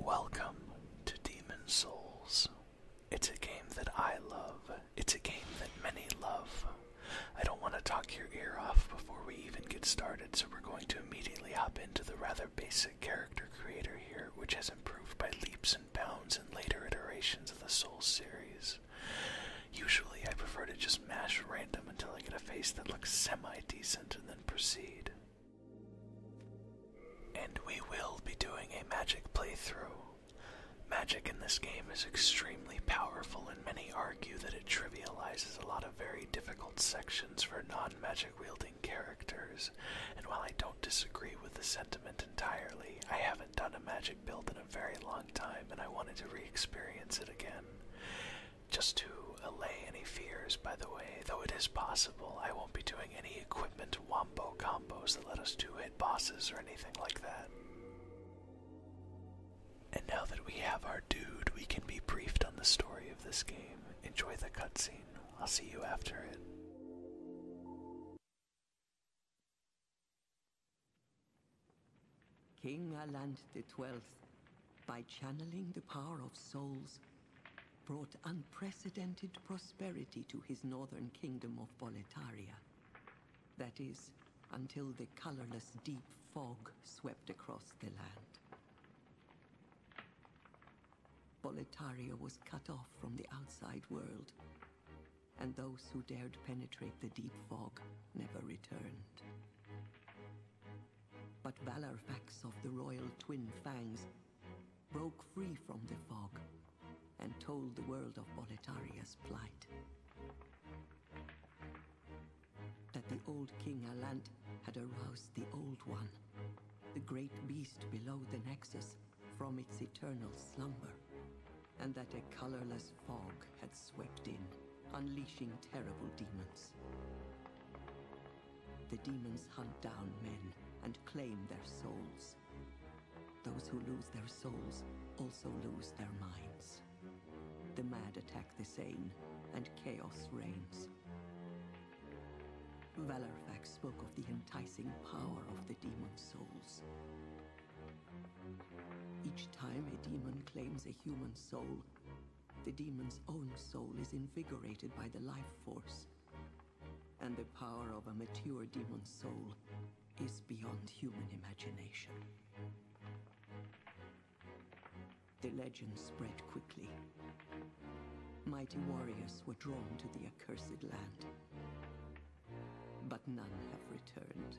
Welcome to Demon Souls. It's a game that I love. It's a game that many love. I don't want to talk your ear off before we even get started, so we're going to immediately hop into the rather basic character creator here, which has improved by leaps and bounds in later iterations of the Souls series. Usually, I prefer to just mash random until I get a face that looks semi decent and then proceed. And we will be doing a magic playthrough. Magic in this game is extremely powerful, and many argue that it trivializes a lot of very difficult sections for non magic wielding characters. And while I don't disagree with the sentiment entirely, I haven't done a magic build in very long time, and I wanted to re experience it again. Just to allay any fears, by the way, though it is possible I won't be doing any equipment wombo combos that let us do hit bosses or anything like that. And now that we have our dude, we can be briefed on the story of this game. Enjoy the cutscene. I'll see you after it. King Aland Twelfth, by channeling the power of souls, brought unprecedented prosperity to his northern kingdom of Boletaria. That is, until the colorless deep fog swept across the land. Boletaria was cut off from the outside world, and those who dared penetrate the deep fog never returned. But Valarfax of the royal twin fangs broke free from the fog and told the world of Boletaria's plight. That the old King Alant had aroused the Old One, the great beast below the Nexus, from its eternal slumber and that a colorless fog had swept in, unleashing terrible demons. The demons hunt down men and claim their souls. Those who lose their souls also lose their minds. The mad attack the sane, and chaos reigns. Valerfax spoke of the enticing power of the demon souls. Each time a demon claims a human soul, the demon's own soul is invigorated by the life force. And the power of a mature demon soul is beyond human imagination. The legend spread quickly. Mighty warriors were drawn to the accursed land but none have returned.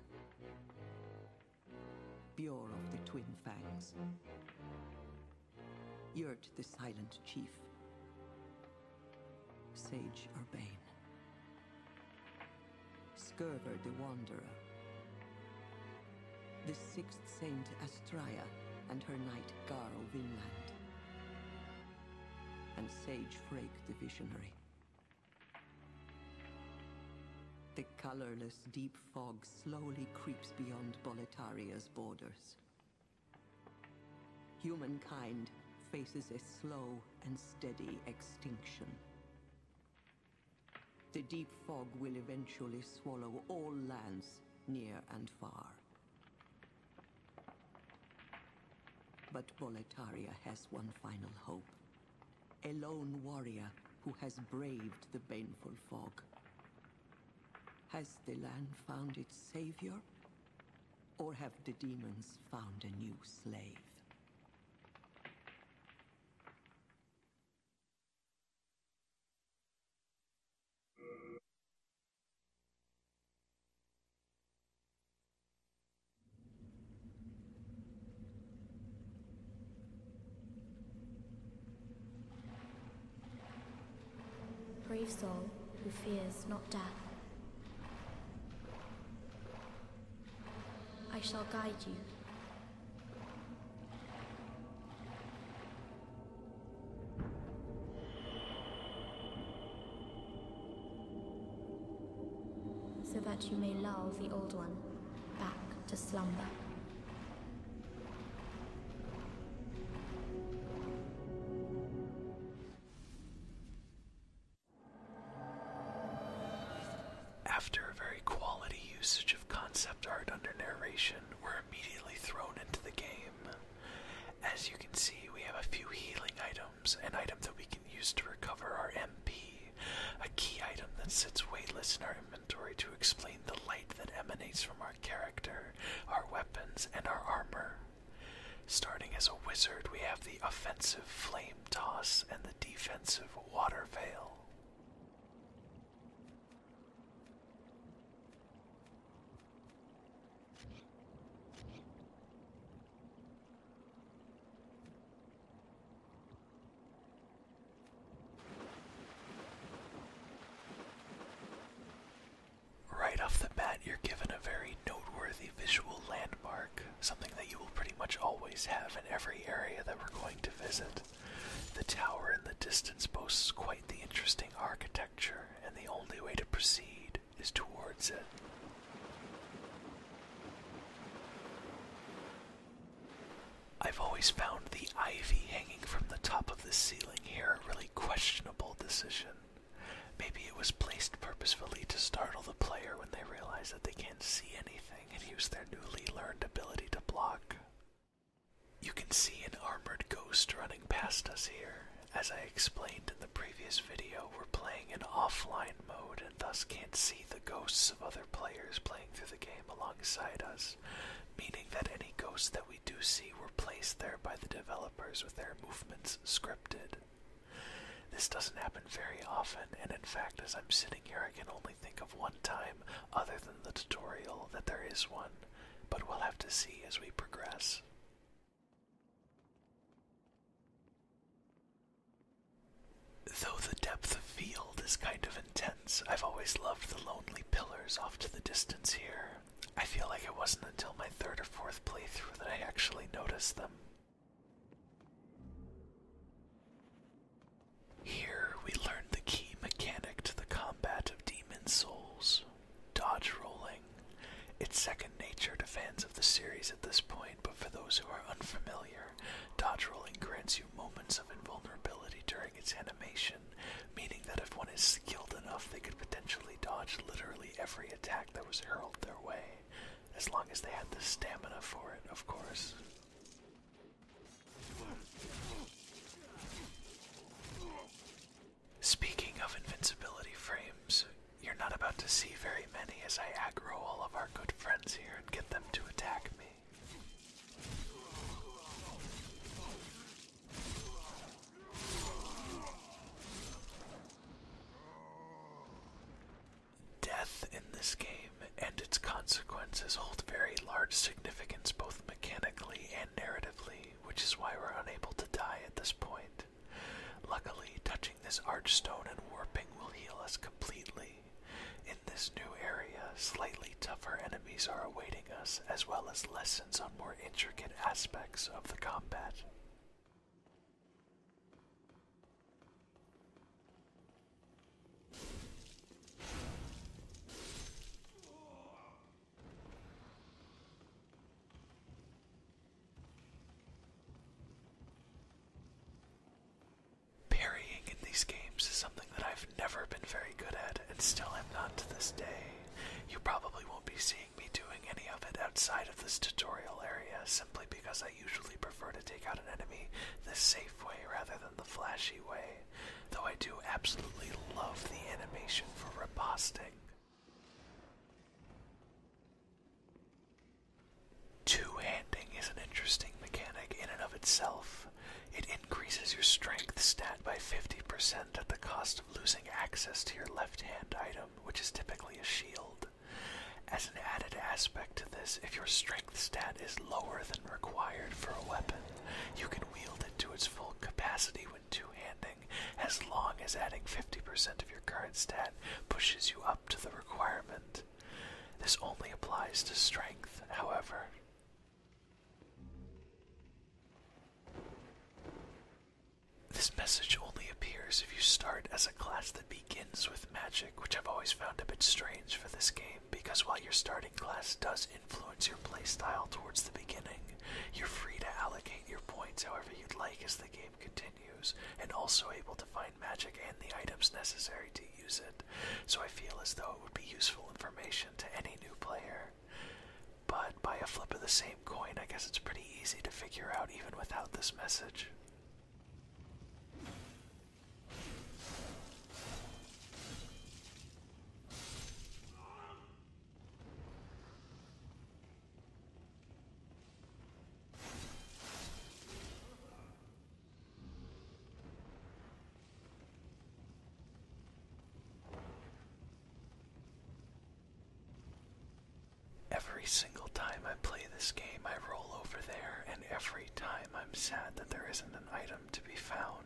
Bjor of the Twin Fangs, Yurt the Silent Chief, Sage Urbane, Skirver the Wanderer, the Sixth Saint Astraya, and her knight Garo Vinland, and Sage Frake the Visionary. The colorless deep fog slowly creeps beyond Bolitaria's borders. Humankind faces a slow and steady extinction. The deep fog will eventually swallow all lands near and far. But Bolitaria has one final hope. A lone warrior who has braved the baneful fog. Has the land found its savior? Or have the demons found a new slave? Brave soul who fears not death. I shall guide you so that you may lull the old one back to slumber. After a very quality usage of concept art under narration, we're immediately thrown into the game. As you can see, we have a few healing items an item that we can use to recover our MP, a key item that sits weightless in our inventory to explain the light that emanates from our character, our weapons, and our armor. Starting as a wizard, we have the offensive flame toss and the defensive water veil. Right off the bat, you're given a very noteworthy visual landmark, something that you will pretty much always have in every area that we're going to visit. The tower in the distance boasts quite the interesting architecture, and the only way to proceed is towards it. I've always found the ivy hanging from the top of the ceiling here a really questionable decision. Maybe it was placed purposefully to startle the player when they realize that they can't see anything and use their newly learned ability to block. You can see an armored ghost running past us here, as I explained in the previous video, we're playing in offline mode and thus can't see the ghosts of other players playing through the game alongside us, meaning that any ghosts that we do see were placed there by the developers with their movements scripted. This doesn't happen very often, and in fact, as I'm sitting here, I can only think of one time, other than the tutorial, that there is one, but we'll have to see as we progress. Though the depth of field is kind of intense, I've always loved the lonely pillars off to the distance here. I feel like it wasn't until my third or fourth playthrough that I actually noticed them. Here we learn the key mechanic to the combat of Demon Souls dodge rolling. It's second nature to fans of the series at this point but for those who are unfamiliar, dodge rolling grants you moments of invulnerability during its animation, meaning that if one is skilled enough, they could potentially dodge literally every attack that was hurled their way, as long as they had the stamina for it, of course. Speaking of invincibility frames, you're not about to see very many as I aggro all of our good friends here and get them to attack me. Death in this game and its consequences hold very large significance both mechanically and narratively, which is why we're unable to die at this point. Luckily, touching this archstone and warping will heal us completely. In this new area, slightly tougher enemies are awaiting us, as well as lessons on more intricate aspects of the combat. Parrying in these games is something that I've never been very good at and still am not to this day. You probably won't be seeing me doing any of it outside of this tutorial area simply because I usually prefer to take out an enemy the safe way rather than the flashy way, though I do absolutely love the animation for riposting. Two-handing is an interesting mechanic in and of itself. It increases your strength stat by 50% at the cost of losing access to your left hand item, which is typically a shield. As an added aspect to this, if your strength stat is lower than required for a weapon, you can wield it to its full capacity when two-handing, as long as adding 50% of your current stat pushes you up to the requirement. This only applies to strength, however. This message only appears if you start as a class that begins with magic, which I've always found a bit strange for this game, because while your starting class does influence your playstyle towards the beginning, you're free to allocate your points however you'd like as the game continues and also able to find magic and the items necessary to use it, so I feel as though it would be useful information to any new player. But by a flip of the same coin, I guess it's pretty easy to figure out even without this message. Every single time I play this game, I roll over there, and every time I'm sad that there isn't an item to be found.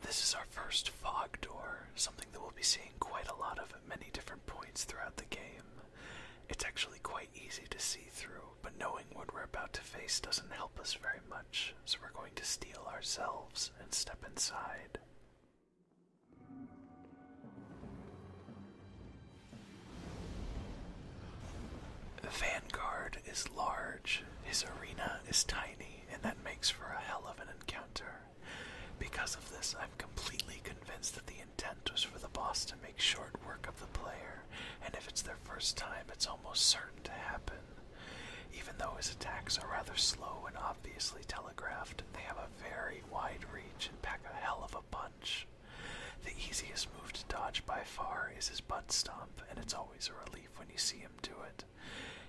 This is our first fog door, something that we'll be seeing quite a lot of at many different points throughout the game. It's actually quite easy to see through, but knowing what we're about to face doesn't help us very much, so we're going to steal ourselves and step inside. The Vanguard is large, his arena is tiny, and that makes for a hell of an encounter. Because of this, I'm completely convinced that the intent was for the boss to make short work of the player, and if it's their first time, it's almost certain to happen. Even though his attacks are rather slow and obviously telegraphed, they have a very wide reach and pack a hell of a punch. The easiest move to dodge by far is his butt stomp, and it's always a relief when you see him do it.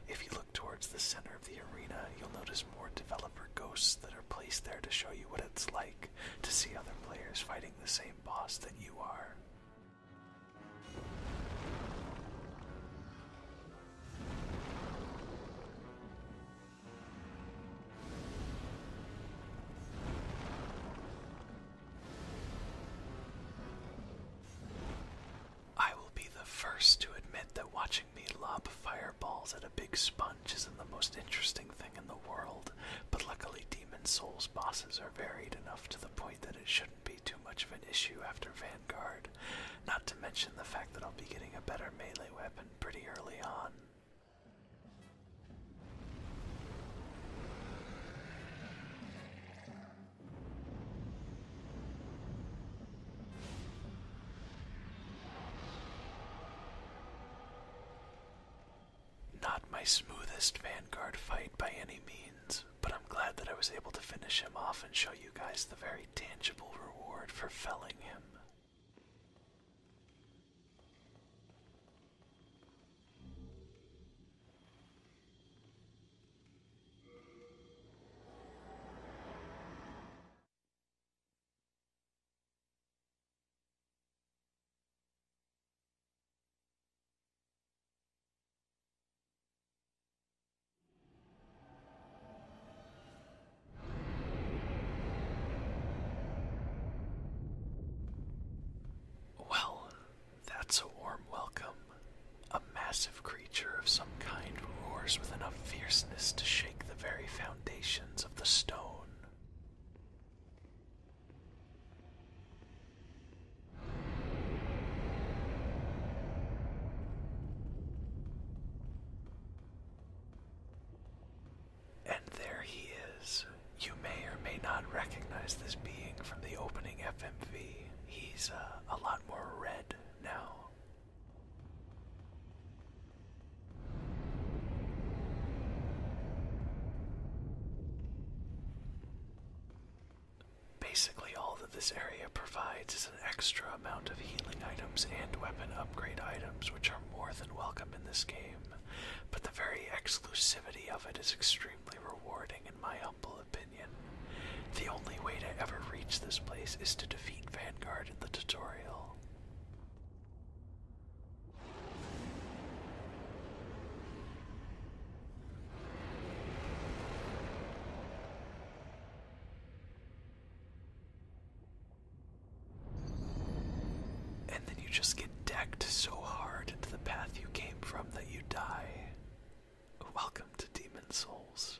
If you look towards the center of the arena, you'll notice more developer ghosts that are placed there to show you what it's like to see other players fighting the same boss that you are. I will be the first to admit that watching me lob fireballs at a big sponge isn't the most interesting thing in the world, but luckily Demon Souls bosses are varied enough to the point that it shouldn't be too much of an issue after Vanguard, not to mention the fact that I'll be getting a better melee weapon pretty early on. Not my smoothest Vanguard fight by any means, but I'm glad that I was able to finish him off and show you guys the very tangible reward for felling him. Well, that's a warm welcome a massive creature of some kind roars with enough fierceness to shake the very foundations of the stone. And there he is. You may or may not recognize this being from the opening FMV. He's uh, a lot more red now. Basically, all that this area provides is an extra amount of healing items and weapon upgrade items, which are more than welcome in this game, but the very exclusivity of it is extremely rewarding, in my humble opinion. The only way to ever reach this place is to defeat Vanguard in the tutorial. And then you just get decked so hard into the path you came from that you die. Welcome to Demon Souls.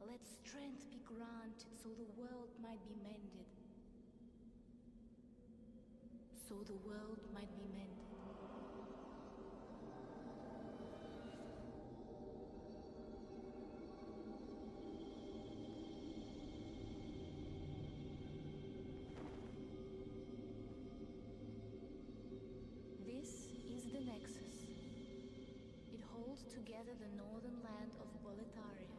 Let strength be granted so the world might be mended. So the world might be mended. This is the Nexus. It holds together the northern land of Boletaria.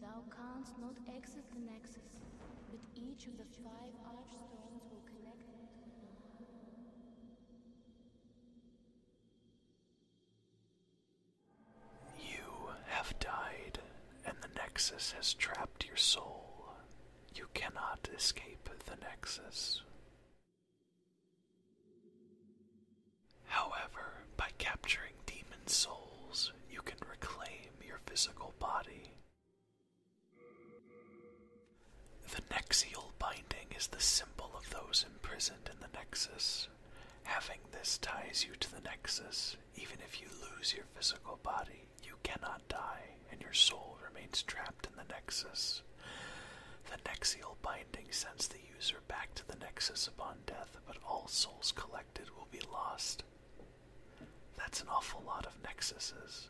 Thou canst not exit the Nexus, but each of the five archstones will connect You have died, and the Nexus has trapped your soul. You cannot escape the Nexus. However, by capturing demon souls, you can reclaim your physical body. The Nexial binding is the symbol of those imprisoned in the Nexus. Having this ties you to the Nexus. Even if you lose your physical body, you cannot die and your soul remains trapped in the Nexus. The Nexial binding sends the user back to the Nexus upon death, but all souls collected will be lost. That's an awful lot of Nexuses.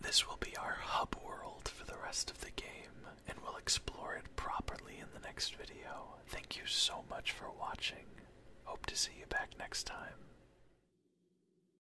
This will be our hub world for the rest of the game, and we'll explore it properly in the next video. Thank you so much for watching. Hope to see you back next time.